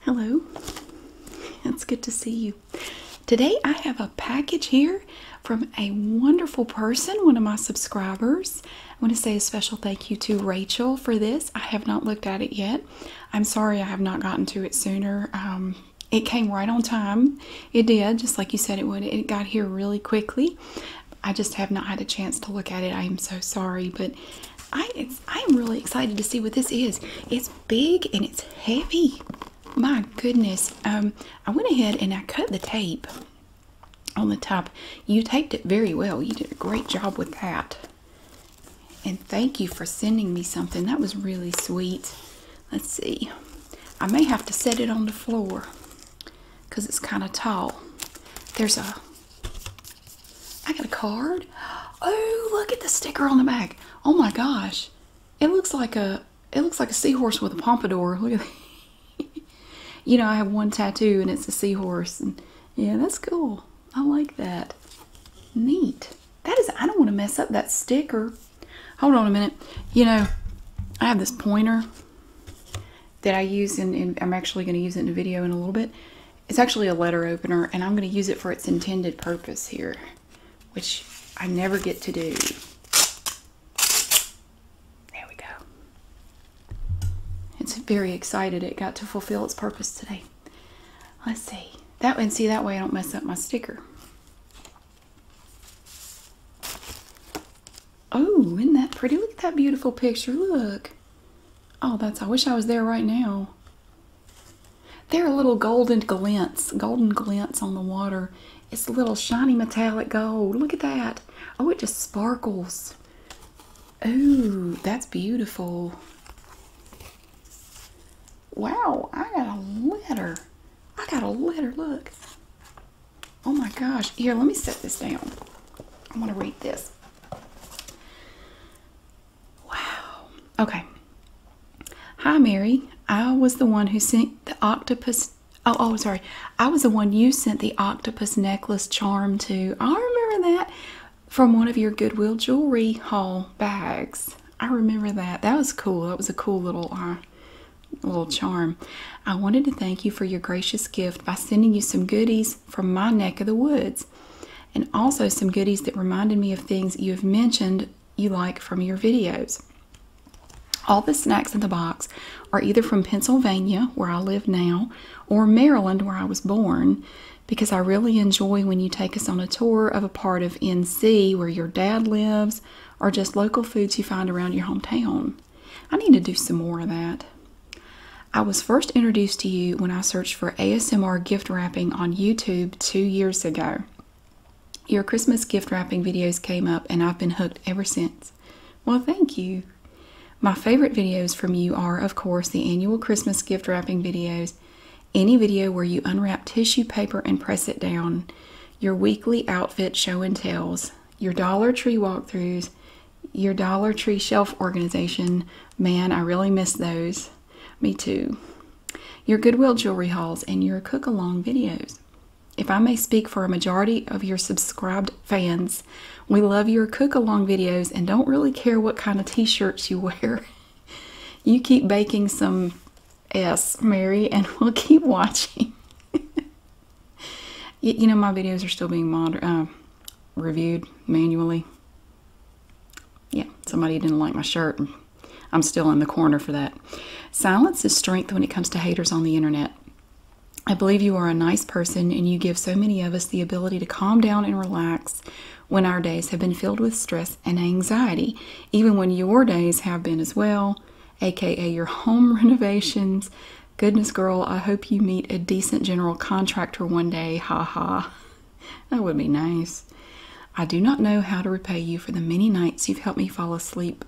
Hello, it's good to see you. Today I have a package here from a wonderful person, one of my subscribers. I want to say a special thank you to Rachel for this. I have not looked at it yet. I'm sorry I have not gotten to it sooner. Um, it came right on time. It did, just like you said it would. It got here really quickly. I just have not had a chance to look at it. I am so sorry, but I am really excited to see what this is. It's big and it's heavy. My goodness. Um, I went ahead and I cut the tape on the top. You taped it very well. You did a great job with that. And thank you for sending me something. That was really sweet. Let's see. I may have to set it on the floor because it's kind of tall. There's a I got a card. Oh, look at the sticker on the back. Oh my gosh. It looks like a it looks like a seahorse with a pompadour. Look at You know, I have one tattoo and it's a seahorse and yeah, that's cool. I like that. Neat. That is I don't want to mess up that sticker. Hold on a minute. You know, I have this pointer that I use and I'm actually going to use it in a video in a little bit. It's actually a letter opener and I'm going to use it for its intended purpose here, which I never get to do. There we go. It's very excited it got to fulfill its purpose today. Let's see. That and see that way I don't mess up my sticker. Oh, isn't that pretty? Look at that beautiful picture. Look. Oh, that's, I wish I was there right now. There are little golden glints, golden glints on the water. It's little shiny metallic gold. Look at that. Oh, it just sparkles. Ooh, that's beautiful. Wow, I got a letter. I got a letter, look. Oh my gosh. Here, let me set this down. I want to read this. Wow. Okay. Hi, Mary. I was the one who sent the octopus. Oh, oh, sorry. I was the one you sent the octopus necklace charm to. I remember that from one of your Goodwill jewelry haul bags. I remember that. That was cool. That was a cool little uh, little charm. I wanted to thank you for your gracious gift by sending you some goodies from my neck of the woods, and also some goodies that reminded me of things you have mentioned you like from your videos. All the snacks in the box are either from Pennsylvania, where I live now, or Maryland, where I was born, because I really enjoy when you take us on a tour of a part of NC where your dad lives, or just local foods you find around your hometown. I need to do some more of that. I was first introduced to you when I searched for ASMR gift wrapping on YouTube two years ago. Your Christmas gift wrapping videos came up and I've been hooked ever since. Well, thank you. My favorite videos from you are, of course, the annual Christmas gift wrapping videos, any video where you unwrap tissue paper and press it down, your weekly outfit show and tells, your Dollar Tree walkthroughs, your Dollar Tree Shelf Organization. Man, I really miss those. Me too. Your Goodwill Jewelry Hauls and your cook along videos. If I may speak for a majority of your subscribed fans, we love your cook along videos and don't really care what kind of t shirts you wear. you keep baking some S, Mary, and we'll keep watching. you, know, my videos are still being moder uh, reviewed manually. Yeah, somebody didn't like my shirt. And I'm still in the corner for that. Silence is strength when it comes to haters on the internet. I believe you are a nice person and you give so many of us the ability to calm down and relax when our days have been filled with stress and anxiety, even when your days have been as well, aka your home renovations, Goodness, girl, I hope you meet a decent general contractor one day. Ha ha. That would be nice. I do not know how to repay you for the many nights you've helped me fall asleep.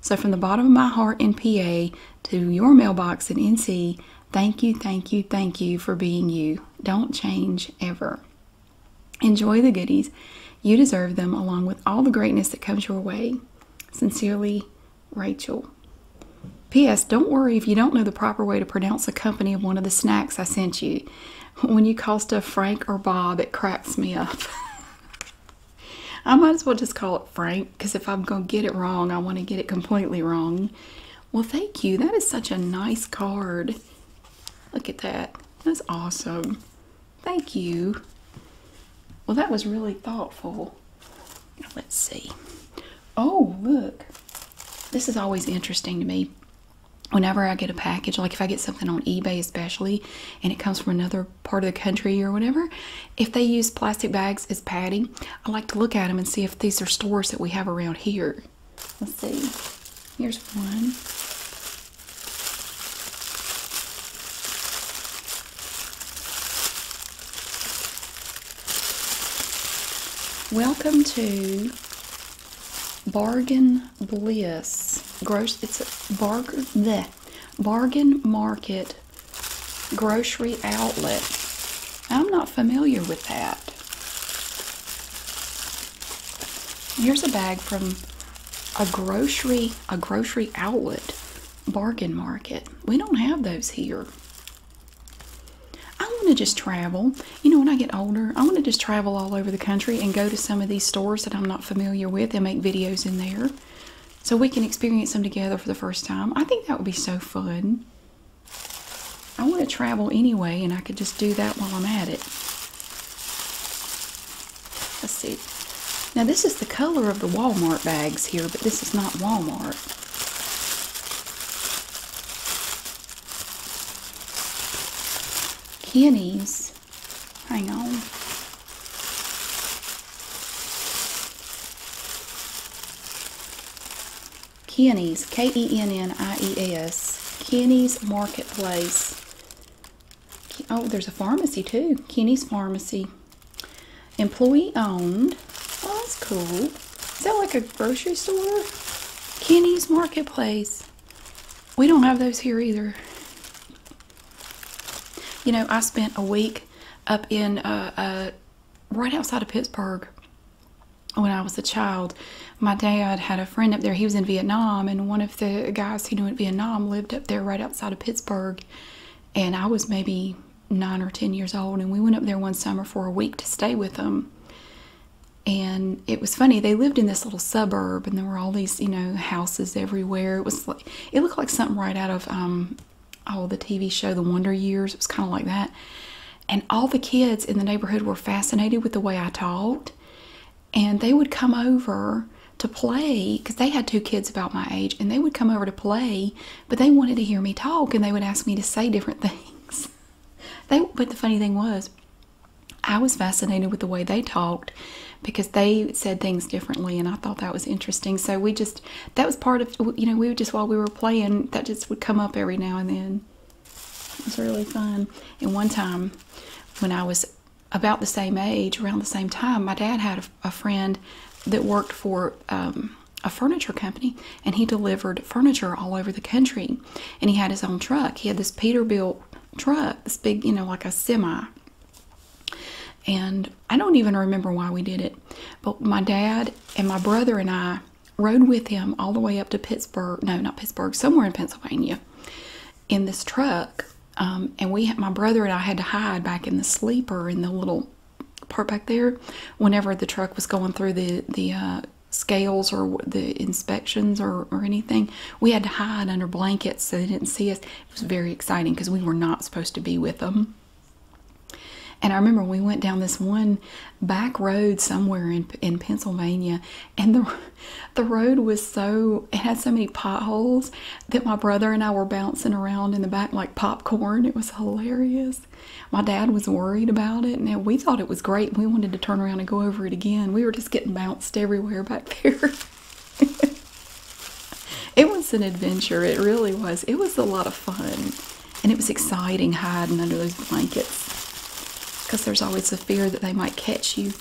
So, from the bottom of my heart in PA to your mailbox in NC, thank you, thank you, thank you for being you. Don't change ever. Enjoy the goodies. You deserve them along with all the greatness that comes your way. Sincerely, Rachel. P.S. Don't worry if you don't know the proper way to pronounce the company of one of the snacks I sent you. When you call stuff Frank or Bob, it cracks me up. I might as well just call it Frank because if I'm going to get it wrong, I want to get it completely wrong. Well, thank you. That is such a nice card. Look at that. That's awesome. Thank you. Well, that was really thoughtful. Let's see. Oh, look. This is always interesting to me. Whenever I get a package, like if I get something on eBay especially, and it comes from another part of the country or whatever, if they use plastic bags as padding, I like to look at them and see if these are stores that we have around here. Let's see. Here's one. Welcome to Bargain Bliss. Gross, it's a bargain, The bargain market grocery outlet. I'm not familiar with that. Here's a bag from a grocery, a grocery outlet bargain market. We don't have those here. I want to just travel. You know, when I get older, I want to just travel all over the country and go to some of these stores that I'm not familiar with and make videos in there so we can experience them together for the first time. I think that would be so fun. I want to travel anyway, and I could just do that while I'm at it. Let's see. Now, this is the color of the Walmart bags here, but this is not Walmart. Kitties. Hang on. Kenny's, K E N N I E S, Kenny's Marketplace. Oh, there's a pharmacy too, Kenny's Pharmacy. Employee owned. Oh, that's cool. Is that like a grocery store? Kenny's Marketplace. We don't have those here either. You know, I spent a week up in uh, uh, right outside of Pittsburgh when I was a child. My dad had a friend up there. He was in Vietnam, and one of the guys he knew in Vietnam lived up there right outside of Pittsburgh. And I was maybe nine or ten years old, and we went up there one summer for a week to stay with them. And it was funny, they lived in this little suburb, and there were all these, you know, houses everywhere. It was like, it looked like something right out of, um, oh, the TV show The Wonder Years. It was kind of like that. And all the kids in the neighborhood were fascinated with the way I talked, and they would come over to play because they had two kids about my age, and they would come over to play but they wanted to hear me talk and they would ask me to say different things. They but the funny thing was I was fascinated with the way they talked because they said things differently and I thought that was interesting. So we just that was part of you know, we would just while we were playing, that just would come up every now and then. It was really fun. And one time when I was about the same age, around the same time, my dad had a, friend that worked for um, a furniture company and he delivered furniture all over the country and he had his own truck he had this peterbilt truck this big you know like a semi and i don't even remember why we did it but my dad and my brother and i rode with him all the way up to pittsburgh no not pittsburgh somewhere in pennsylvania in this truck um, and we my brother and i had to hide back in the sleeper in the little part back there whenever the truck was going through the the uh, scales or the inspections or, or anything we had to hide under blankets so they didn't see us it was very exciting because we were not supposed to be with them and I remember we went down this one back road somewhere in in Pennsylvania, and the the road was so it had so many potholes that my brother and I were bouncing around in the back like popcorn. It was hilarious. My dad was worried about it. Now we thought it was great. We wanted to turn around and go over it again. We were just getting bounced everywhere back there. it was an adventure. It really was. It was a lot of fun. And it was exciting hiding under those blankets because there's always the fear that they might catch you.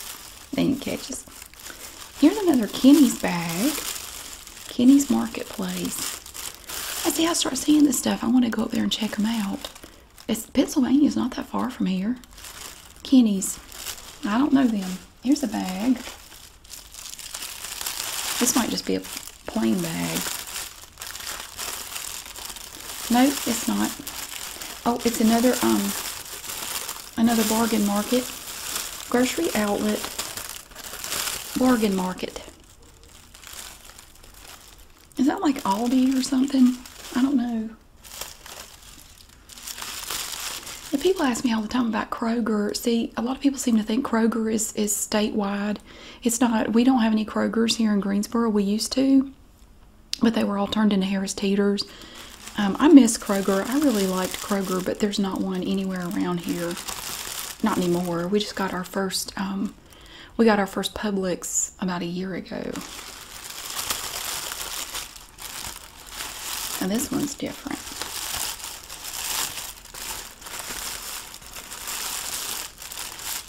They didn't catch us. Here's another Kenny's bag. Kenny's Marketplace. I see, I start seeing this stuff. I want to go up there and check them out. It's Pennsylvania's not that far from here. Kenny's. I don't know them. Here's a bag. This might just be a plain bag. No, it's not. Oh, it's another um another bargain market. Grocery outlet. Bargain market. Is that like Aldi or something? I don't know. The people ask me all the time about Kroger. See, a lot of people seem to think Kroger is is statewide. It's not. We don't have any Krogers here in Greensboro. We used to, but they were all turned into Harris Teeters. Um, I miss Kroger. I really liked Kroger, but there's not one anywhere around here. Not anymore. We just got our first um, we got our first Publix about a year ago. And this one's different.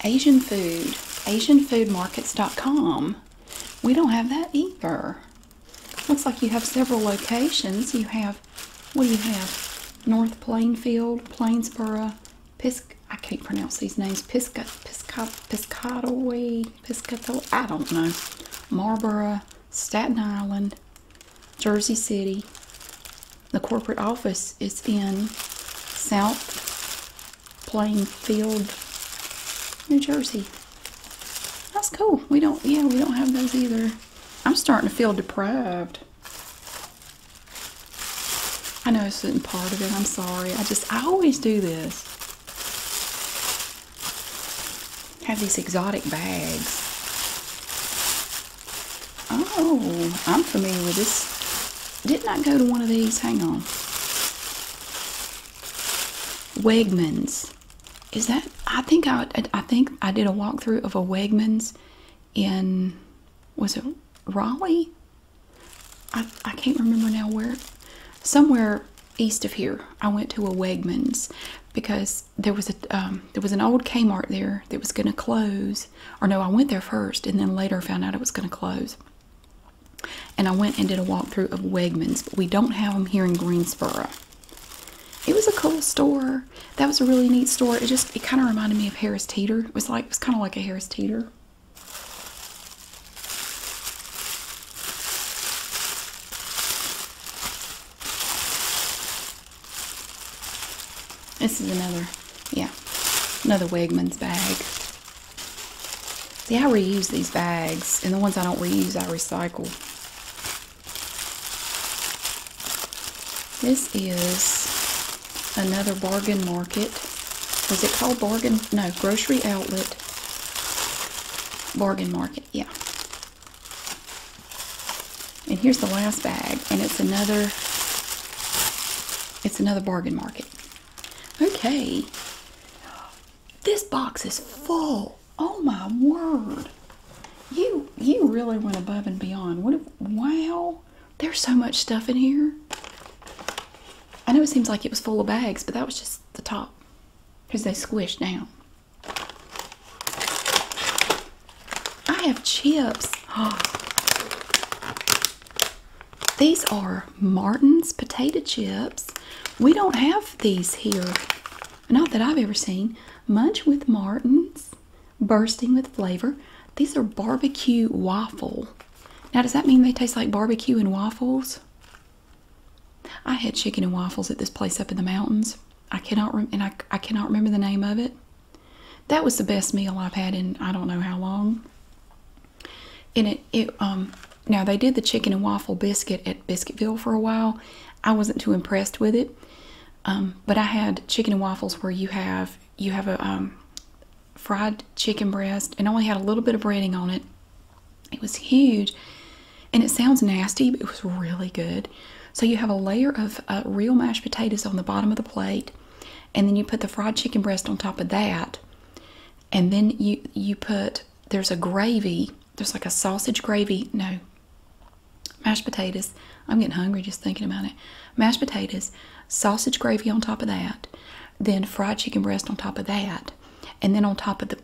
Asian food, AsianFoodMarkets.com. We don't have that either. Looks like you have several locations. You have what do you have? North Plainfield, Plainsboro, Pisc, I can't pronounce these names, Pisca, Pisca, Piscataway, Piscataway, I don't know, Marlboro, Staten Island, Jersey City. The corporate office is in South Plainfield, New Jersey. That's cool. We don't, yeah, we don't have those either. I'm starting to feel deprived. I know it's isn't part of it. I'm sorry. I just, I always do this. Have these exotic bags. Oh, I'm familiar with this. Didn't I go to one of these? Hang on. Wegmans. Is that? I think I, I think I did a walkthrough of a Wegmans in was it Raleigh? I, I can't remember now where. Somewhere east of here, I went to a Wegmans because there was a um, there was an old Kmart there that was going to close. Or no, I went there first, and then later found out it was going to close. And I went and did a walkthrough of Wegmans, but we don't have them here in Greensboro. It was a cool store. That was a really neat store. It just it kind of reminded me of Harris Teeter. It was like it was kind of like a Harris Teeter. This is another, yeah, another Wegmans bag. See, I reuse these bags, and the ones I don't reuse, I recycle. This is another bargain market. Was it called bargain? No, grocery outlet. Bargain market, yeah. And here's the last bag, and it's another it's another bargain market. Okay. This box is full. Oh my word. You you really went above and beyond. What? If, wow, there's so much stuff in here. I know it seems like it was full of bags, but that was just the top because they squished down. I have chips. These are Martin's potato chips. We don't have these here. Not that I've ever seen. Munch with Martin's bursting with flavor. These are barbecue waffle. Now, does that mean they taste like barbecue and waffles? I had chicken and waffles at this place up in the mountains. I cannot rem and I, I cannot remember the name of it. That was the best meal I've had in I don't know how long. And it it um now they did the chicken and waffle biscuit at Biscuitville for a while. I wasn't too impressed with it. Um, but I had chicken and waffles where you have you have a um, fried chicken breast and only had a little bit of breading on it. It was huge, and it sounds nasty, but it was really good. So you have a layer of uh, real mashed potatoes on the bottom of the plate, and then you put the fried chicken breast on top of that, and then you you put there's a gravy. There's like a sausage gravy. No, mashed potatoes. I'm getting hungry just thinking about it. Mashed potatoes, sausage gravy on top of that, then fried chicken breast on top of that, and then on top of the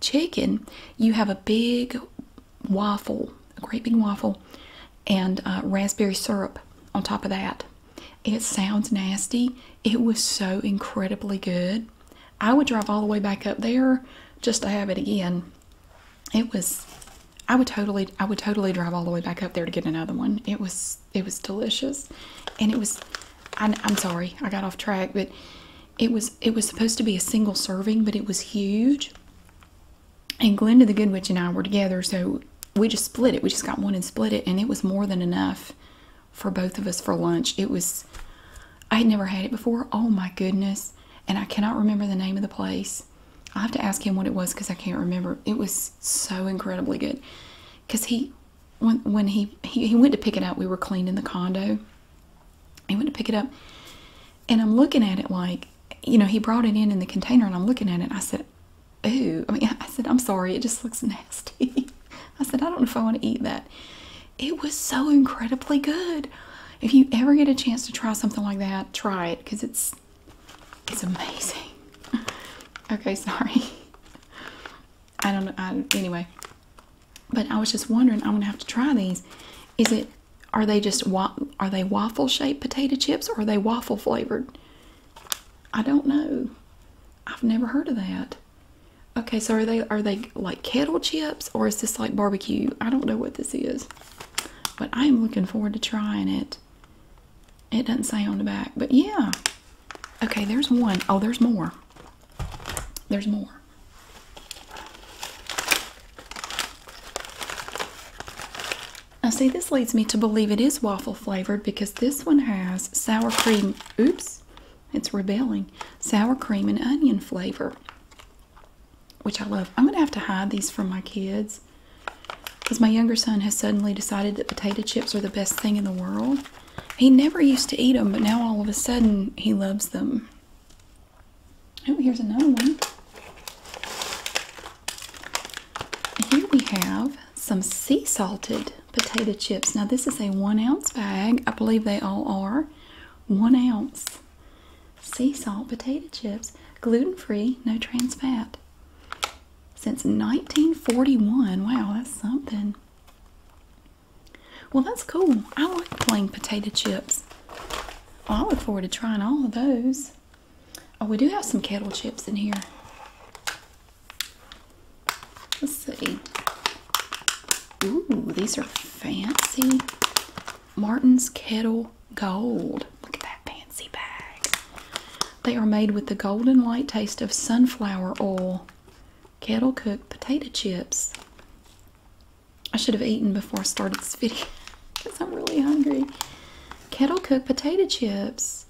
chicken, you have a big waffle, a great big waffle, and uh, raspberry syrup on top of that. It sounds nasty. It was so incredibly good. I would drive all the way back up there just to have it again it was I would totally I would totally drive all the way back up there to get another one. It was it was delicious and it was I, am sorry I got off track but it was it was supposed to be a single serving but it was huge and Glenda the Good Witch and I were together so we just split it we just got one and split it and it was more than enough for both of us for lunch. It was I had never had it before. Oh my goodness and I cannot remember the name of the place I have to ask him what it was because I can't remember. It was so incredibly good. Cause he, when when he, he went to pick it up, we were cleaning the condo. He went to pick it up, and I'm looking at it like, you know, he brought it in in the container, and I'm looking at it. I said, "Ooh," I mean, I said, "I'm sorry, it just looks nasty." I said, "I don't know if I want to eat that." It was so incredibly good. If you ever get a chance to try something like that, try it because it's it's amazing. okay, sorry. I don't know. I, anyway, but I was just wondering. I'm gonna have to try these. Is it? Are they just are they waffle shaped potato chips or are they waffle flavored? I don't know. I've never heard of that. Okay, so are they are they like kettle chips or is this like barbecue? I don't know what this is. But I am looking forward to trying it. It doesn't say on the back, but yeah. Okay, there's one. Oh, there's more. There's more. Now, see, this leads me to believe it is waffle flavored because this one has sour cream. Oops, it's rebelling. Sour cream and onion flavor which I love. I'm gonna have to hide these from my kids because my younger son has suddenly decided that potato chips are the best thing in the world. He never used to eat them, but now all of a sudden he loves them. Oh, here's another one. Here we have some sea salted potato chips. Now, this is a one ounce bag. I believe they all are one ounce sea salt potato chips, gluten free, no trans fat. Since 1941. Wow, that's something. Well, that's cool. I like plain potato chips. I look forward to trying all of those. Oh, we do have some kettle chips in here. Let's see. Ooh, these are fancy. Martin's Kettle Gold. Look at that fancy bag. They are made with the golden light taste of sunflower oil. Kettle cooked potato chips. I should have eaten before I started this video because I'm really hungry. Kettle cooked potato chips.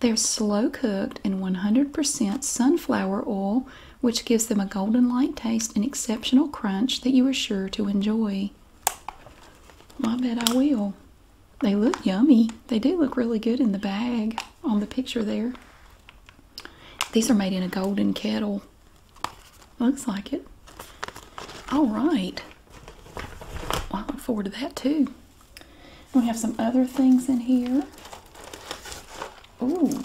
They're slow cooked in 100% sunflower oil, which gives them a golden light taste and exceptional crunch that you are sure to enjoy. Well, I bet I will. They look yummy. They do look really good in the bag on the picture there. These are made in a golden kettle. Looks like it. All right. I look forward to that too. We have some other things in here. Ooh,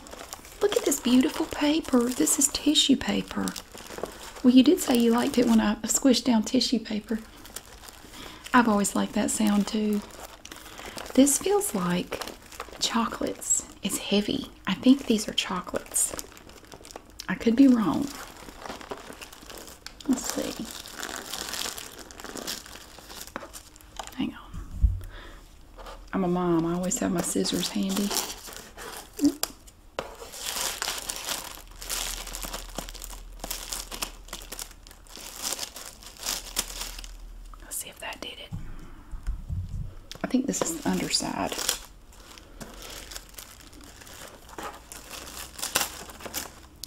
look at this beautiful paper. This is tissue paper. Well, you did say you liked it when I squished down tissue paper. I've always liked that sound too. This feels like chocolates. It's heavy. I think these are chocolates. I could be wrong. Let's see. Hang on. I'm a mom. I always have my scissors handy. Let's see if that did it. I think this is the underside.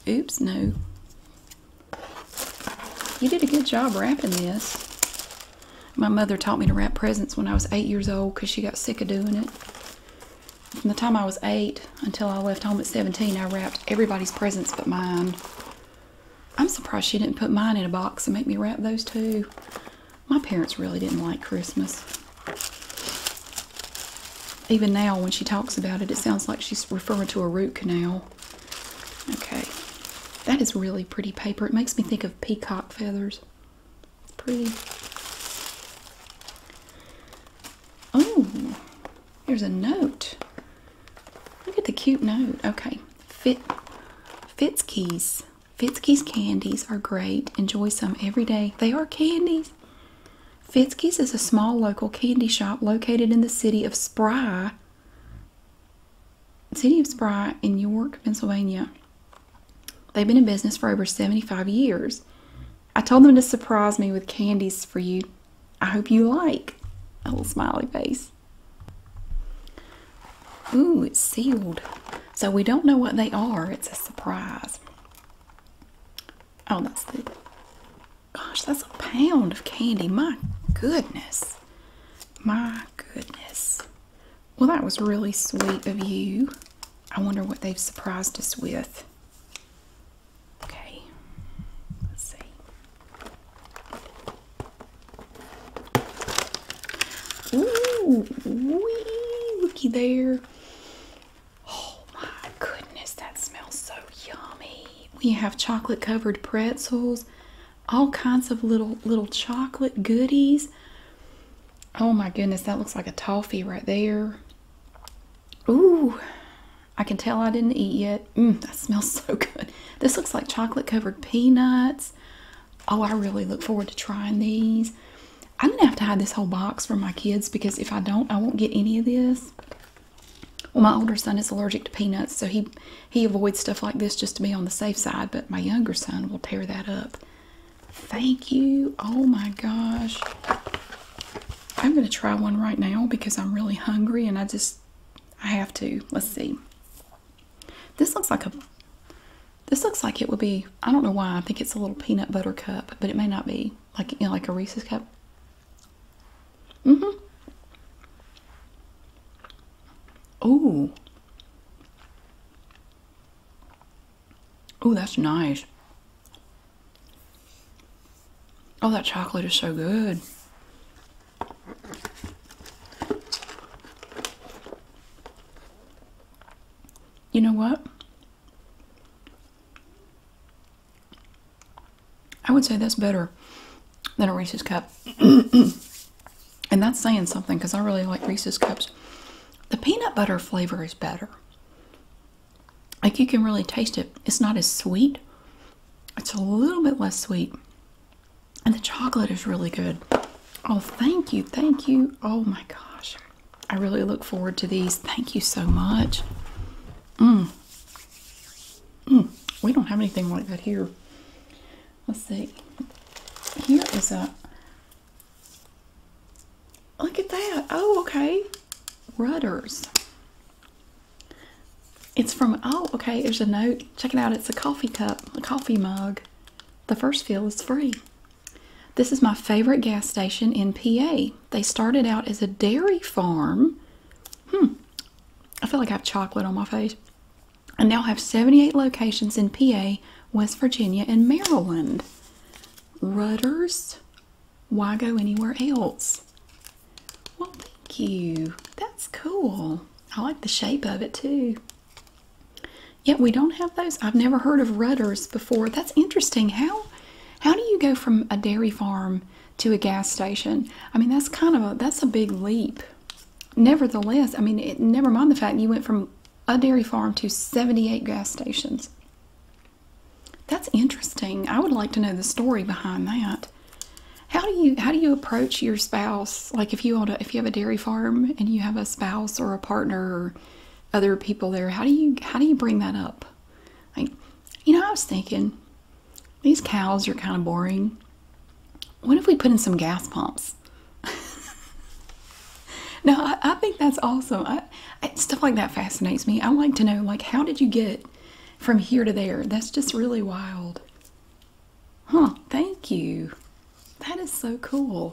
Oops, no. You did a good job wrapping this. My mother taught me to wrap presents when I was eight years old because she got sick of doing it. From the time I was eight until I left home at 17, I wrapped everybody's presents but mine. I'm surprised she didn't put mine in a box and make me wrap those too. My parents really didn't like Christmas. Even now, when she talks about it, it sounds like she's referring to a root canal. Okay, that is really pretty paper. It makes me think of peacock feathers. Pretty. Oh, there's a note. Look at the cute note. Okay, Fit Fitzkeys. Fitzkeys candies are great. Enjoy some every day. They are candies. Fitzkeys is a small local candy shop located in the city of Spry, city of Spry in York, Pennsylvania. They've been in business for over 75 years. I told them to surprise me with candies for you. I hope you like. A little smiley face. Ooh, it's sealed. So we don't know what they are. It's a surprise. Oh, that's the. Gosh, that's a pound of candy. My goodness. My goodness. Well, that was really sweet of you. I wonder what they've surprised us with. Okay, let's see. Ooh, wee, looky there. Oh my goodness, that smells so yummy. We have chocolate covered pretzels, all kinds of little little chocolate goodies. Oh my goodness, that looks like a toffee right there. Ooh, I can tell I didn't eat yet. Mmm, that smells so good. This looks like chocolate covered peanuts. Oh, I really look forward to trying these. I'm gonna have to hide this whole box from my kids because if I don't, I won't get any of this. Well, my older son is allergic to peanuts, so he he avoids stuff like this just to be on the safe side. But my younger son will tear that up. Thank you. Oh my gosh. I'm going to try one right now because I'm really hungry and I just, I have to. Let's see. This looks like a, this looks like it would be, I don't know why, I think it's a little peanut butter cup, but it may not be. Like, you know, like a Reese's cup. Mm-hmm. Oh. Oh, that's nice. Oh, that chocolate is so good. You know what? I would say that's better than a Reese's cup. and that's saying something because I really like Reese's cups. The peanut butter flavor is better. Like you can really taste it. It's not as sweet. It's a little bit less sweet. And the chocolate is really good. Oh, thank you. Thank you. Oh my gosh. I really look forward to these. Thank you so much. Mmm. Mmm. We don't have anything like that here. Let's see. Here is a Look at that. Oh, okay. Rudders. It's from, oh, okay, there's a note. Check it out. It's a coffee cup, a coffee mug. The first fill is free. This is my favorite gas station in PA. They started out as a dairy farm. Hmm. I feel like I have chocolate on my face. I now have 78 locations in PA, West Virginia, and Maryland rudders. Why go anywhere else? Well, thank you. That's cool. I like the shape of it too. Yet we don't have those. I've never heard of rudders before. That's interesting. How how do you go from a dairy farm to a gas station? I mean, that's kind of a that's a big leap. Nevertheless, I mean, never mind the fact you went from a dairy farm to 78 gas stations. That's interesting. I would like to know the story behind that. How do you how do you approach your spouse? Like if you own a, if you have a dairy farm and you have a spouse or a partner or other people there, how do you how do you bring that up? Like, you know, I was thinking these cows are kind of boring. What if we put in some gas pumps? no, I, think that's awesome. stuff like that fascinates me. I like to know, like, how did you get from here to there? That's just really wild. Huh, thank you. That is so cool.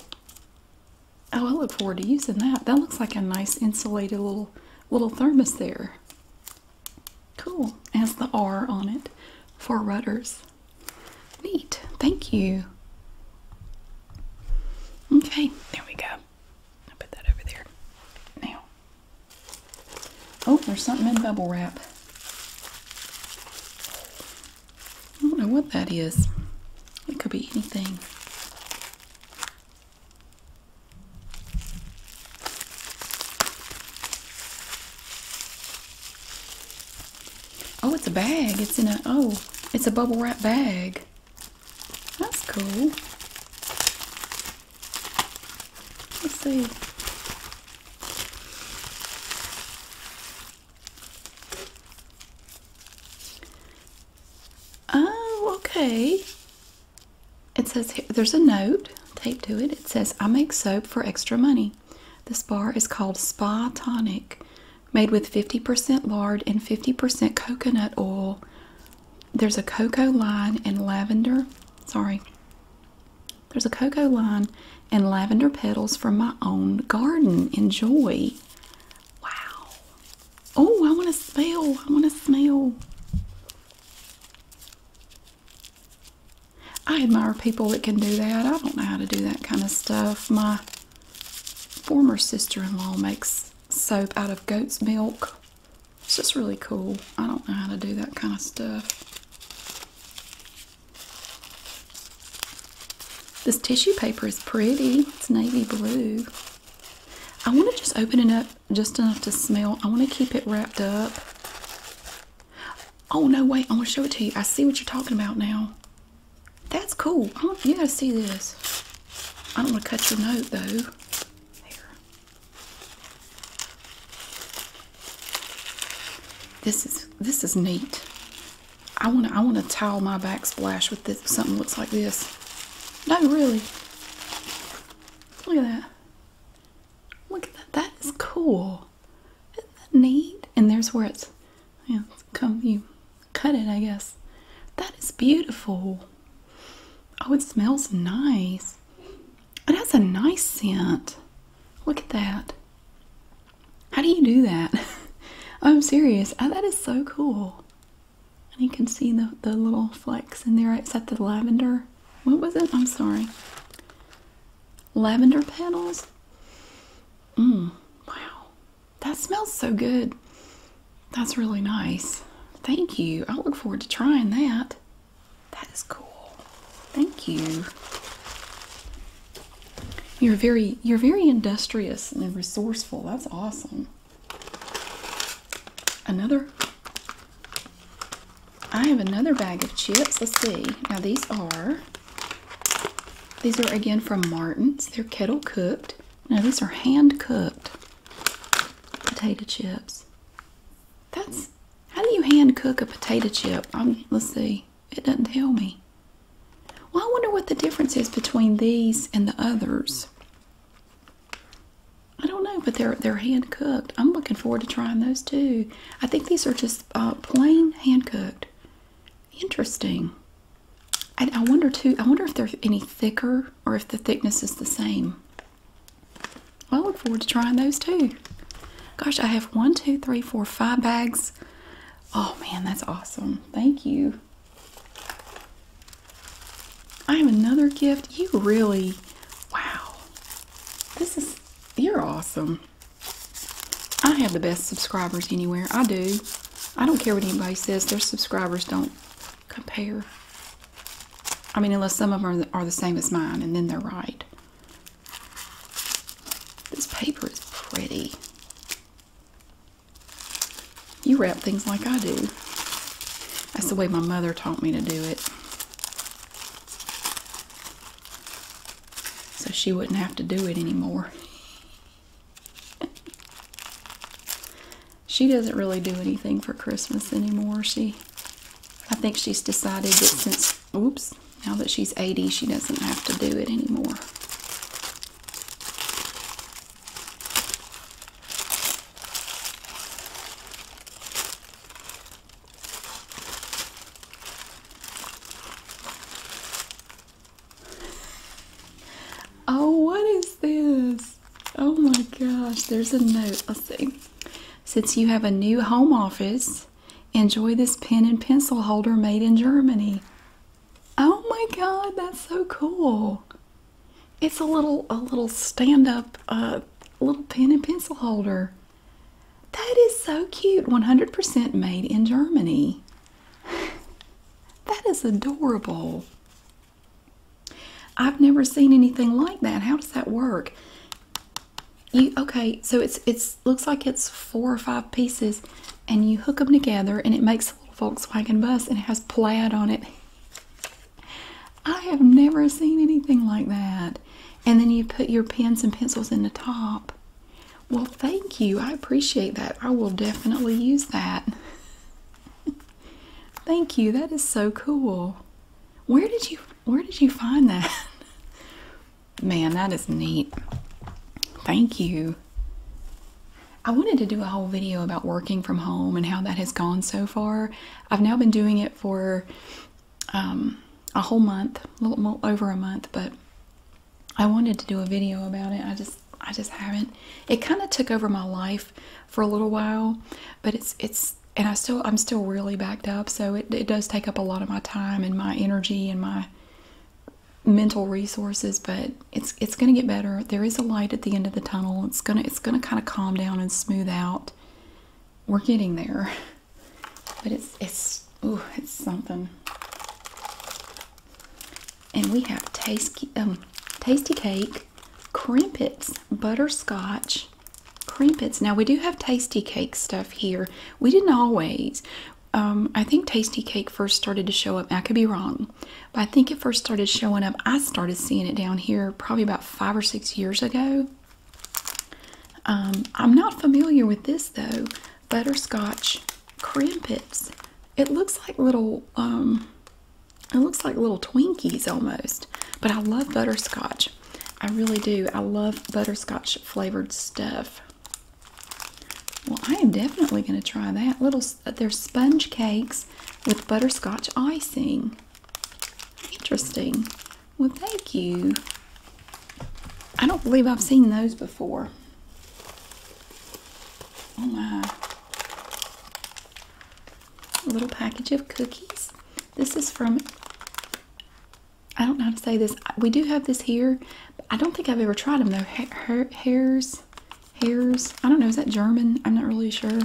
Oh, I look forward to using that. That looks like a nice insulated little little thermos there. Cool. has the R on it for rudders. Neat. Thank you. Okay, there we go. i put that over there. Now. Oh, there's something in bubble wrap. I don't know what that is. It could be anything. Oh, it's a bag. It's in a, oh, it's a bubble wrap bag. That's cool. Let's see. Oh, okay. It says here, there's a note taped to it. It says, I make soap for extra money. This bar is called Spa Tonic made with 50% lard and 50% coconut oil. There's a cocoa line and lavender. Sorry. There's a cocoa line and lavender petals from my own garden. Enjoy. Wow. Oh, I want to smell. I want to smell. I admire people that can do that. I don't know how to do that kind of stuff. My former sister-in-law makes soap out of goat's milk. It's just really cool. I don't know how to do that kind of stuff. This tissue paper is pretty. It's navy blue. I want to just open it up just enough to smell. I want to keep it wrapped up. Oh, no, wait. I want to show it to you. I see what you're talking about now. That's cool. Oh, you gotta see this. I don't want to cut your note though. This is this is neat. I want to I want to tile my backsplash with this. Something looks like this. No, really. Look at that. Look at that. That is cool. Isn't that neat? And there's where it's. Yeah, come you cut it, I guess. That is beautiful. Oh, it smells nice. It has a nice scent. Look at that. How do you do that? I'm serious. Oh, that is so cool. And you can see the, the little flecks in there. It's that the lavender? What was it? I'm sorry. Lavender petals? Mmm. Wow. That smells so good. That's really nice. Thank you. I look forward to trying that. That is cool. Thank you. You're very you're very industrious and resourceful. That's awesome. Another I have another bag of chips. Let's see. Now these are these are again from Martin's. They're kettle cooked. Now these are hand cooked potato chips. That's how do you hand cook a potato chip? I'm, let's see. It doesn't tell me. Well, I wonder what the difference is between these and the others. I don't know, but they're they're hand cooked. I'm looking forward to trying those too. I think these are just uh, plain hand cooked. Interesting. I wonder too, I wonder if they're any thicker or if the thickness is the same. I look forward to trying those too. Gosh, I have one, two, three, four, five bags. Oh man, that's awesome. Thank you. I have another gift. You really, wow. This is, you're awesome. I have the best subscribers anywhere. I do. I don't care what anybody says. Their subscribers don't compare. I mean, unless some of them are the same as mine, and then they're right. This paper is pretty. You wrap things like I do. That's the way my mother taught me to do it. So she wouldn't have to do it anymore. she doesn't really do anything for Christmas anymore. She, I think she's decided that since, oops, now that she's 80, she doesn't have to do it anymore oh, what is this? Oh my gosh, there's a note. Let's see. Since you have a new home office, enjoy this pen and pencil holder made in Germany. Oh my god, that's so cool. It's a little a little stand-up uh little pen and pencil holder. That is so cute. 100% made in Germany. that is adorable. I've never seen anything like that. How does that work? You okay? So it's it's looks like it's four or five pieces, and you hook them together, and it makes a little Volkswagen bus, and it has plaid on it. I have never seen anything like that. And then you put your pens and pencils in the top. Well, thank you. I appreciate that. I will definitely use that. thank you. That is so cool. Where did you where did you find that? Man, that is neat. Thank you. I wanted to do a whole video about working from home and how that has gone so far. I've now been doing it for um, a whole month, a little over a month, but I wanted to do a video about it. I just I just haven't. It kind of took over my life for a little while, but it's it's and I still I'm still really backed up, so it it does take up a lot of my time and my energy and my mental resources, but it's it's going to get better. There is a light at the end of the tunnel. It's going to it's going to kind of calm down and smooth out. We're getting there. But it's it's ooh, it's something. And we have tasty, um, tasty cake, crimpets, butterscotch, crimpets. Now we do have tasty cake stuff here. We didn't always. Um, I think Tasty Cake first started to show up. I could be wrong, but I think it first started showing up. I started seeing it down here probably about five or six years ago. Um, I'm not familiar with this though butterscotch crimpets. It looks like little um it looks like little Twinkies almost. But I love butterscotch. I really do. I love butterscotch flavored stuff. Well, I am definitely going to try that. Little they're sponge cakes with butterscotch icing. Interesting. Well, thank you. I don't believe I've seen those before on oh, my little package of cookies. This is from, I don't know how to say this. We do have this here. I don't think I've ever tried them though. hairs, hairs. I don't know. Is that German? I'm not really sure.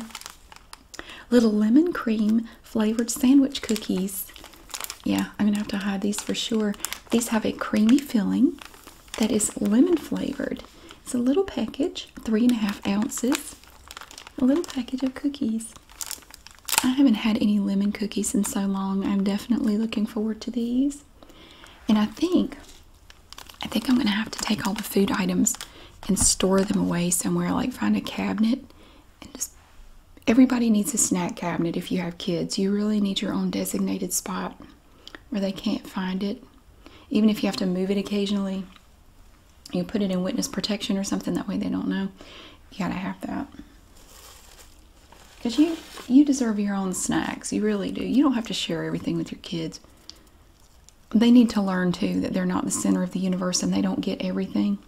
Little lemon cream flavored sandwich cookies. Yeah, I'm going to have to hide these for sure. These have a creamy filling that is lemon flavored. It's a little package, three and a half ounces. A little package of cookies. I haven't had any lemon cookies in so long. I'm definitely looking forward to these. And I think I think I'm gonna have to take all the food items and store them away somewhere, like find a cabinet and just everybody needs a snack cabinet if you have kids. You really need your own designated spot where they can't find it. Even if you have to move it occasionally, you put it in witness protection or something that way they don't know. You gotta have that. Because you, you deserve your own snacks. You really do. You don't have to share everything with your kids. They need to learn too that they're not the center of the universe and they don't get everything.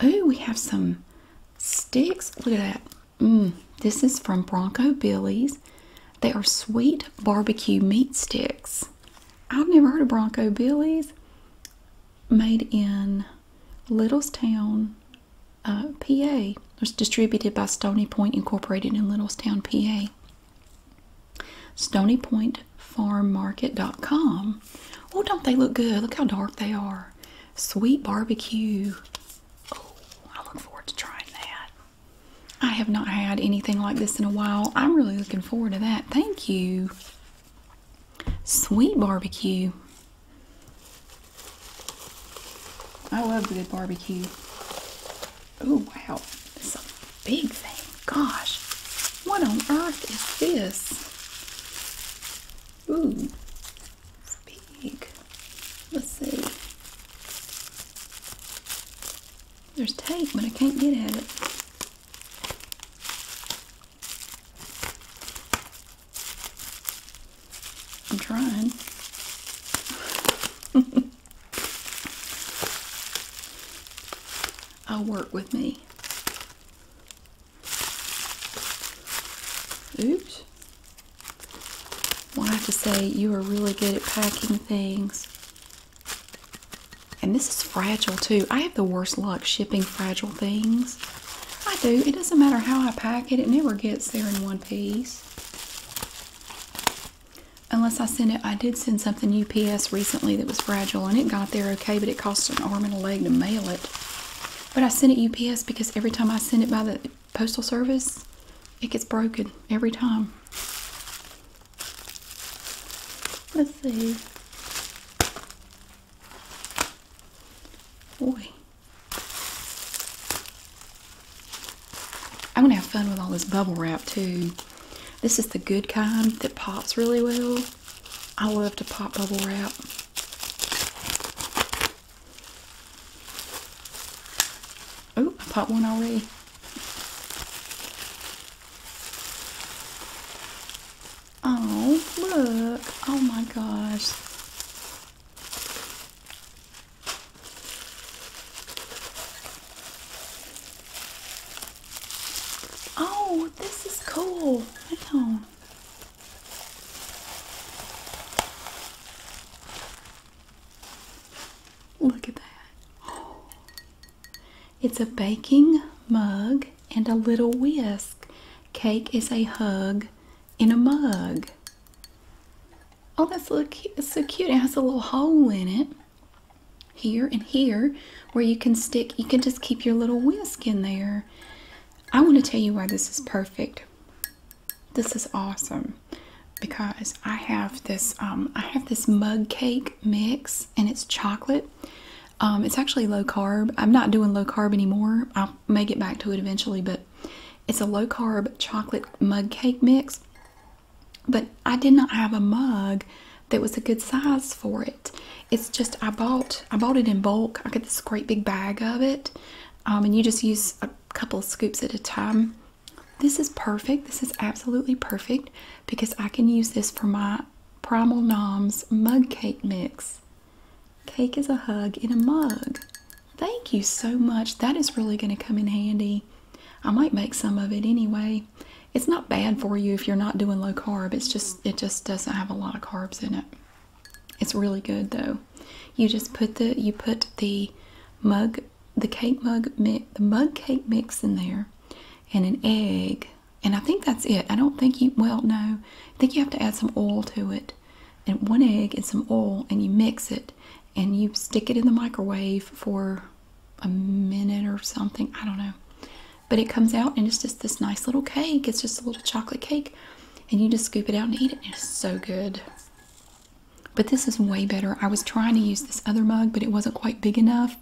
Oh, we have some sticks. Look at that. Mm, this is from Bronco Billy's. They are sweet barbecue meat sticks. I've never heard of Bronco Billy's. Made in Littlestown, uh, PA. It's distributed by Stony Point Incorporated in Littlestown, PA. StonyPointFarmMarket.com. Oh, don't they look good? Look how dark they are. Sweet barbecue Oh, I look forward to trying that. I have not had anything like this in a while. I'm really looking forward to that. Thank you. Sweet barbecue. I love good barbecue. Oh, wow. This a big thing. Gosh. What on earth is this? Ooh big. Let's see. There's tape, but I can't get at it. I'm trying. I'll work with me. Oops. I have to say, you are really good at packing things. And this is fragile too. I have the worst luck shipping fragile things. I do. It doesn't matter how I pack it, it never gets there in one piece. Unless I send it, I did send something UPS recently that was fragile and it got there okay, but it costs an arm and a leg to mail it. But I sent it UPS because every time I send it by the postal service, it gets broken every time. Let's see. Boy. I'm going to have fun with all this bubble wrap too. This is the good kind that pops really well. I love to pop bubble wrap. Oh, I popped one already. Oh, look. Oh my gosh. Oh, this is cool. Wow. Look at that. It's a baking mug and a little whisk. Cake is a hug in a mug. Oh, this so cute. so cute. It has a little hole in it here and here where you can stick, you can just keep your little whisk in there. I want to tell you why this is perfect. This is awesome because I have this um, I have this mug cake mix and it's chocolate. Um, it's actually low carb. I'm not doing low carb anymore. I may get back to it eventually, but it's a low carb chocolate mug cake mix. But I did not have a mug that was a good size for it. It's just I bought I bought it in bulk. I got this great big bag of it, um, and you just use couple scoops at a time. This is perfect. This is absolutely perfect because I can use this for my Primal Noms mug cake mix. Cake is a hug in a mug. Thank you so much. That is really going to come in handy. I might make some of it anyway. It's not bad for you if you're not doing low carb. It's just it just doesn't have a lot of carbs in it. It's really good though. You just put the you put the mug the cake mug mix the mug cake mix in there and an egg and I think that's it. I don't think you well no. I think you have to add some oil to it. And one egg and some oil and you mix it and you stick it in the microwave for a minute or something. I don't know. But it comes out and it's just this nice little cake. It's just a little chocolate cake. And you just scoop it out and eat it. It's so good. But this is way better. I was trying to use this other mug, but it wasn't quite big enough.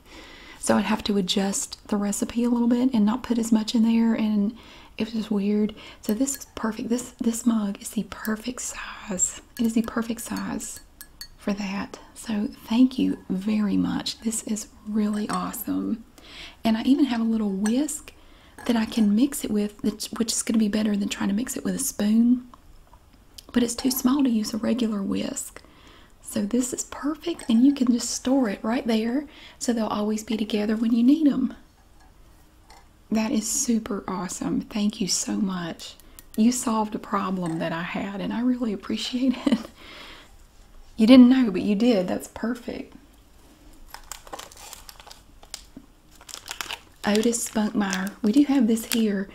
So I'd have to adjust the recipe a little bit and not put as much in there and it was just weird. So this is perfect. This this mug is the perfect size. It is the perfect size for that. So thank you very much. This is really awesome. And I even have a little whisk that I can mix it with, which is going to be better than trying to mix it with a spoon. But it's too small to use a regular whisk. So this is perfect, and you can just store it right there so they'll always be together when you need them. That is super awesome. Thank you so much. You solved a problem that I had, and I really appreciate it. you didn't know, but you did. That's perfect. Otis Spunkmeyer. We do have this here.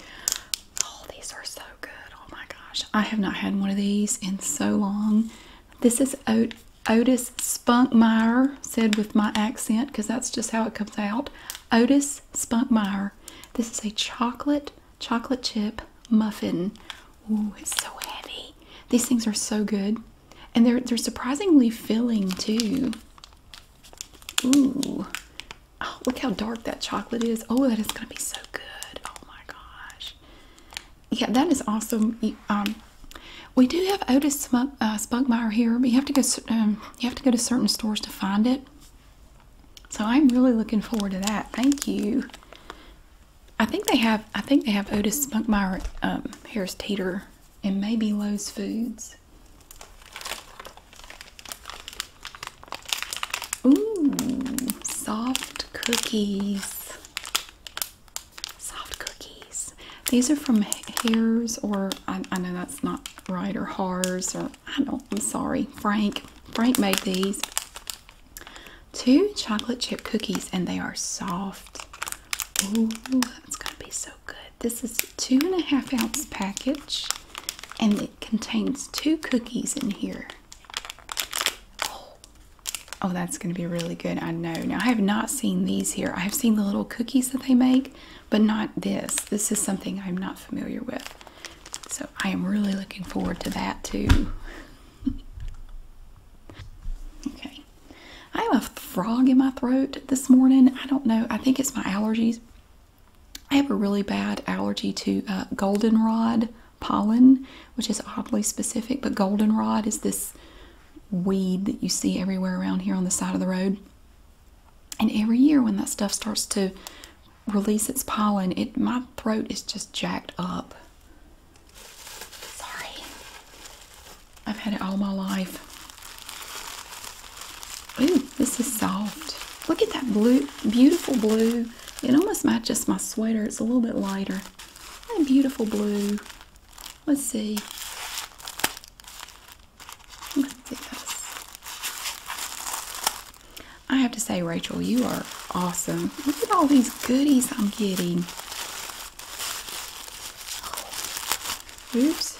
Oh, these are so good. Oh my gosh. I have not had one of these in so long. This is Ot Otis Spunkmeyer, said with my accent because that's just how it comes out. Otis Spunkmeyer. This is a chocolate, chocolate chip muffin. Oh, it's so heavy. These things are so good. And they're they're surprisingly filling too. Ooh. Oh, look how dark that chocolate is. Oh, that is gonna be so good. Oh my gosh. Yeah, that is awesome. Um, we do have Otis uh, Spunkmeyer here, but you have to go. Um, you have to go to certain stores to find it. So I'm really looking forward to that. Thank you. I think they have. I think they have Otis Spunkmeyer um, Harris Teeter and maybe Lowe's Foods. Ooh, soft cookies. Soft cookies. These are from Hares, or I, know that's not right, or Hars, or I don't, I'm sorry, Frank. Frank made these. Two chocolate chip cookies, and they are soft. Ooh, that's gonna be so good. This is a two and a half ounce package, and it contains two cookies in here. Oh, oh that's going to be really good. I know. Now, I have not seen these here. I have seen the little cookies that they make, but not this. This is something I'm not familiar with. So, I am really looking forward to that too. okay, I have a frog in my throat this morning. I don't know. I think it's my allergies. I have a really bad allergy to uh, goldenrod pollen, which is oddly specific, but goldenrod is this weed that you see everywhere around here on the side of the road. And every year when that stuff starts to release its pollen, it my throat is just jacked up. Sorry. I've had it all my life. Ooh, this is soft. Look at that blue, beautiful blue. It almost matches my sweater. It's a little bit lighter. That beautiful blue. Let's see. Let's see I have to say, Rachel, you are awesome. Look at all these goodies I'm getting. Oops.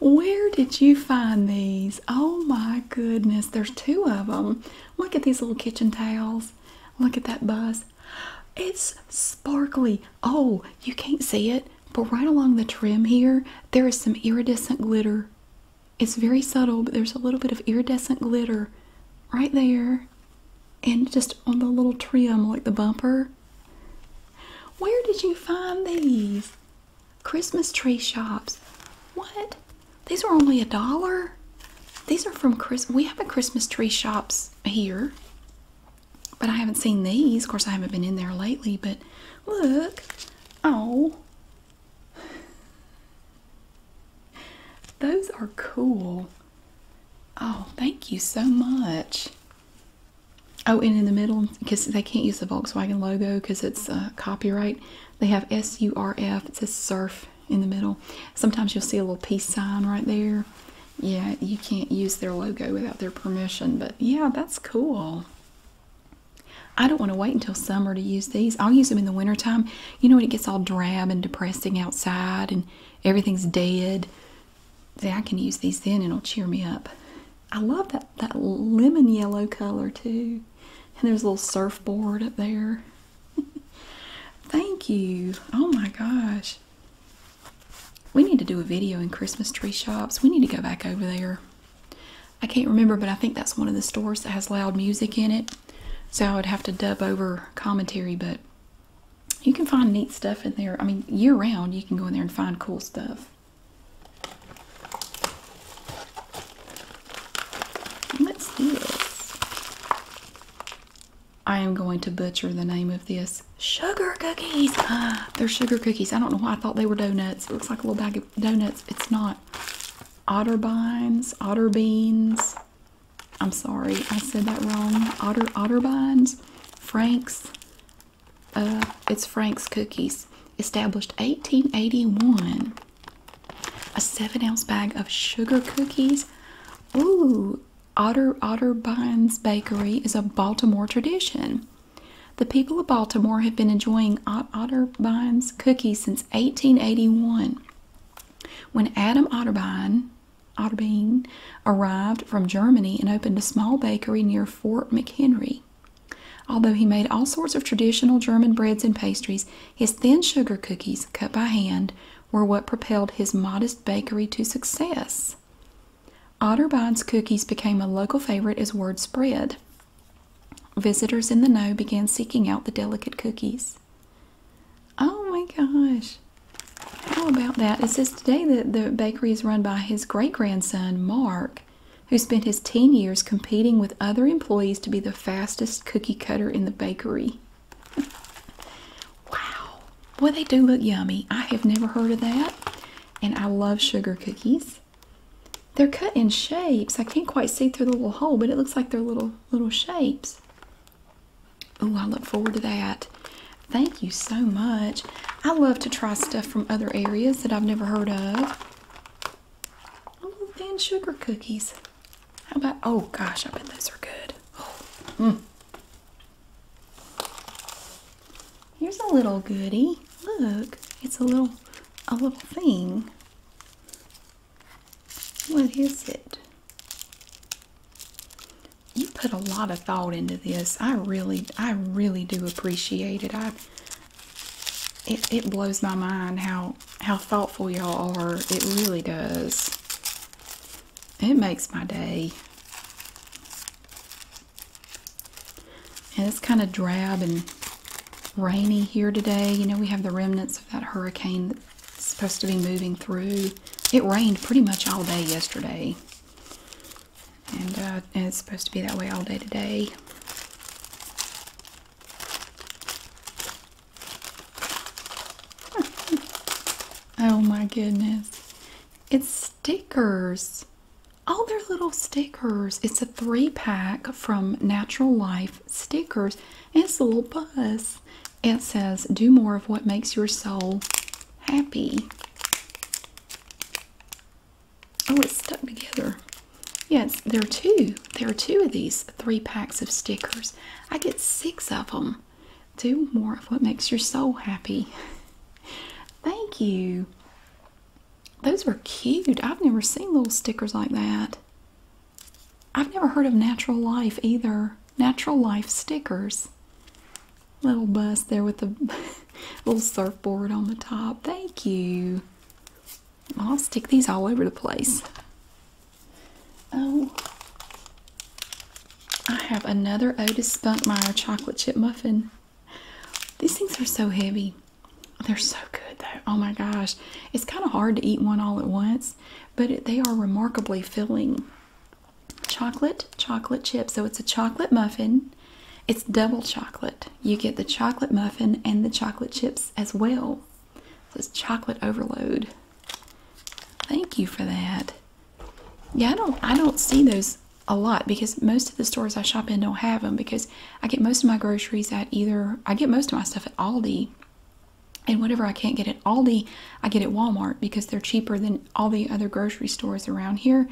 Where did you find these? Oh my goodness, there's two of them. Look at these little kitchen towels. Look at that bus. It's sparkly. Oh, you can't see it, but right along the trim here, there is some iridescent glitter. It's very subtle, but there's a little bit of iridescent glitter right there. And just on the little trim, like the bumper. Where did you find these? Christmas tree shops. What? These are only a dollar? These are from Chris. We have a Christmas tree shops here, but I haven't seen these. Of course, I haven't been in there lately, but look. Oh. Those are cool. Oh, thank you so much. Oh, and in the middle, because they can't use the Volkswagen logo because it's uh, copyright, they have S U R F. It says surf in the middle. Sometimes you'll see a little peace sign right there. Yeah, you can't use their logo without their permission, but yeah, that's cool. I don't want to wait until summer to use these. I'll use them in the wintertime. You know when it gets all drab and depressing outside and everything's dead. See, I can use these then and it'll cheer me up. I love that that lemon yellow color too. And there's a little surfboard up there. Thank you. Oh my gosh. We need to do a video in Christmas tree shops. We need to go back over there. I can't remember, but I think that's one of the stores that has loud music in it. So I would have to dub over commentary, but you can find neat stuff in there. I mean, year round, you can go in there and find cool stuff. What's this? I am going to butcher the name of this. Sugar cookies. Ah, they're sugar cookies. I don't know why I thought they were donuts. It looks like a little bag of donuts. It's not. Otterbines, otter beans. I'm sorry, I said that wrong. Otter, otterbines, Frank's, uh, it's Frank's Cookies, established 1881. A seven-ounce bag of sugar cookies. Ooh, Otter Otterbines Bakery is a Baltimore tradition. The people of Baltimore have been enjoying Otterbines cookies since 1881. When Adam Otterbine, arrived from Germany and opened a small bakery near Fort McHenry, Although he made all sorts of traditional German breads and pastries, his thin sugar cookies, cut by hand, were what propelled his modest bakery to success. Otterbine's cookies became a local favorite as word spread. Visitors in the know began seeking out the delicate cookies. Oh my gosh. How about that? It says today that the bakery is run by his great grandson, Mark, who spent his teen years competing with other employees to be the fastest cookie cutter in the bakery. wow. boy, they do look yummy. I have never heard of that. And I love sugar cookies. They're cut in shapes. I can't quite see through the little hole, but it looks like they're little little shapes. Oh, I look forward to that. Thank you so much. I love to try stuff from other areas that I've never heard of. Oh, thin sugar cookies. How about, oh gosh, I bet those are good. Oh, Here's a little goodie. Look, it's a little, a little thing. What is it? You put a lot of thought into this. I really, I really do appreciate it. I, it, blows my mind how how thoughtful y'all are. It really does. It makes my day. And it's kind of drab and rainy here today. You know, we have the remnants of that hurricane that's supposed to be moving through. It rained pretty much all day yesterday. Uh, and, it's supposed to be that way all day today. oh my goodness. It's stickers. Oh, they're little stickers. It's a three pack from Natural Life Stickers. it's a little bus. It says, Do more of what makes your soul happy. Oh, it's stuck together. Yes, there are two. There are two of these three packs of stickers. I get six of them. Do more of what makes your soul happy. Thank you. Those are cute. I've never seen little stickers like that. I've never heard of Natural Life either. Natural Life stickers. Little bus there with the little surfboard on the top. Thank you. I'll stick these all over the place. Oh, I have another Otis Spunkmeyer chocolate chip muffin. These things are so heavy. They're so good though. Oh my gosh. It's kind of hard to eat one all at once, but they are remarkably filling. Chocolate, chocolate chip. So it's a chocolate muffin it's double chocolate. You get the chocolate muffin and the chocolate chips as well. So it's chocolate overload. Thank you for that. Yeah, I don't I don't see those a lot because most of the stores I shop in don't have them because I get most of my groceries at either I get most of my stuff at Aldi and whatever I can't get at Aldi, I get at Walmart because they're cheaper than all the other grocery stores around here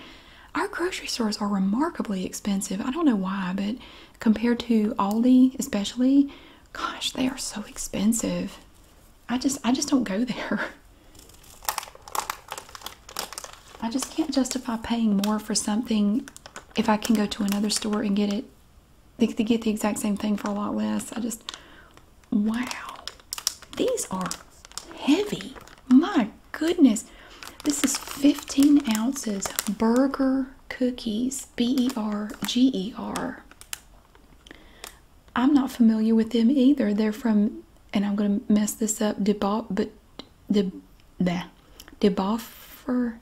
our grocery stores are remarkably expensive. I don't know why, but compared to Aldi, especially, gosh, they are so expensive. I just I just don't go there. I just can't justify paying more for something if I can go to another store and get it they, they get the exact same thing for a lot less. I just wow. These are heavy. My goodness. This is 15 ounces burger cookies, B E R G E R. I'm not familiar with them either. They're from, and I'm going to mess this up, Debo, but De, bleh, Deboffer,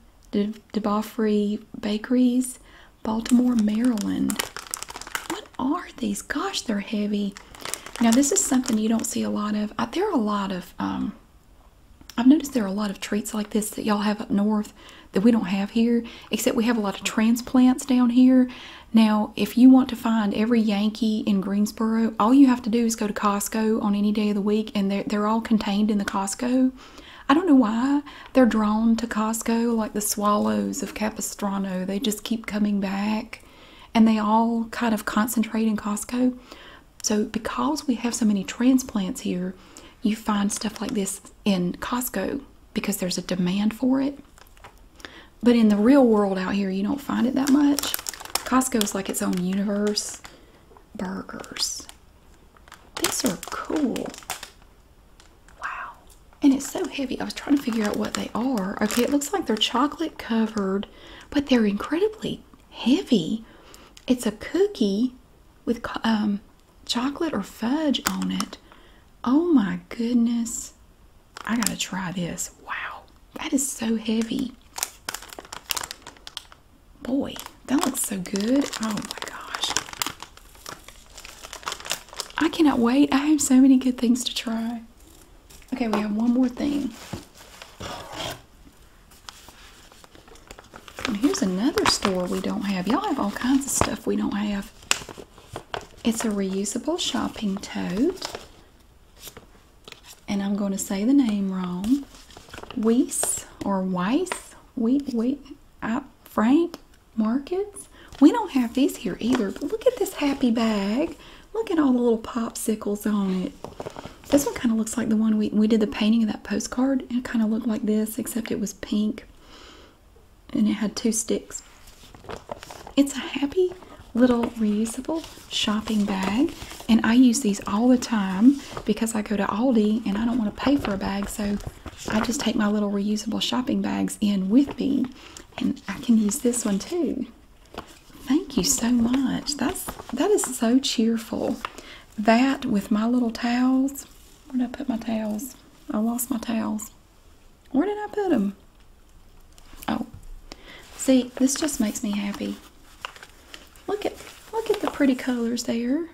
Bakeries, Baltimore, Maryland. What are these? Gosh, they're heavy. Now, this is something you don't see a lot of. there are a lot of um, I've noticed there are a lot of treats like this that y'all have up north that we don't have here, except we have a lot of transplants down here. Now, if you want to find every Yankee in Greensboro, all you have to do is go to Costco on any day of the week, and they're, they're all contained in the Costco. I don't know why they're drawn to Costco like the swallows of Capistrano. They just keep coming back, and they all kind of concentrate in Costco. So, because we have so many transplants here, you find stuff like this in Costco because there's a demand for it. But in the real world out here, you don't find it that much. Costco is like its own universe. Burgers. These are cool. Wow. And it's so heavy. I was trying to figure out what they are. Okay, it looks like they're chocolate covered, but they're incredibly heavy. It's a cookie with um, chocolate or fudge on it. Oh my goodness. I gotta try this. Wow, that is so heavy. Boy, that looks so good. Oh my gosh. I cannot wait. I have so many good things to try. Okay, we have one more thing here's another store we don't have. Y'all have all kinds of stuff we don't have. It's a reusable shopping tote. And I'm going to say the name wrong. Weiss or Weiss. We, we, Frank Markets. We don't have these here either, look at this happy bag. Look at all the little popsicles on it. This one kind of looks like the one we, we did the painting of that postcard. It kind of looked like this, except it was pink and it had two sticks. It's a happy little reusable shopping bag, and I use these all the time because I go to Aldi and I don't want to pay for a bag, so I just take my little reusable shopping bags in with me, and I can use this one too. Thank you so much. That's that is so cheerful. That with my little towels. Where did I put my towels? I lost my towels. Where did I put them? Oh, see, this just makes me happy. Look at look at the pretty colors there.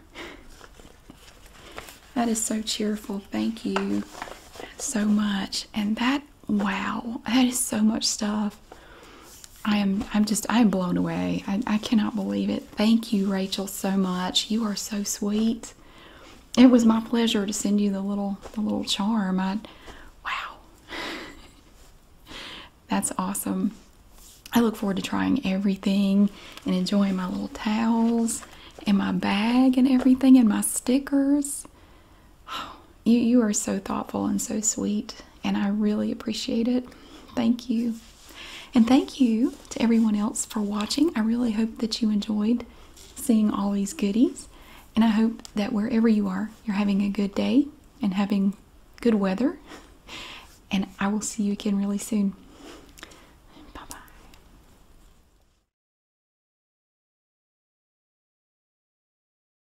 That is so cheerful. Thank you so much. And that wow, that is so much stuff. I am I'm just I am blown away. I, cannot believe it. Thank you, Rachel, so much. You are so sweet. It was my pleasure to send you the little the little charm. I wow. That's awesome. I look forward to trying everything and enjoying my little towels and my bag and everything and my stickers. Oh, you you are so thoughtful and so sweet and I really appreciate it. Thank you. And thank you to everyone else for watching. I really hope that you enjoyed seeing all these goodies. And I hope that wherever you are, you're having a good day and having good weather. And I will see you again really soon. Bye bye.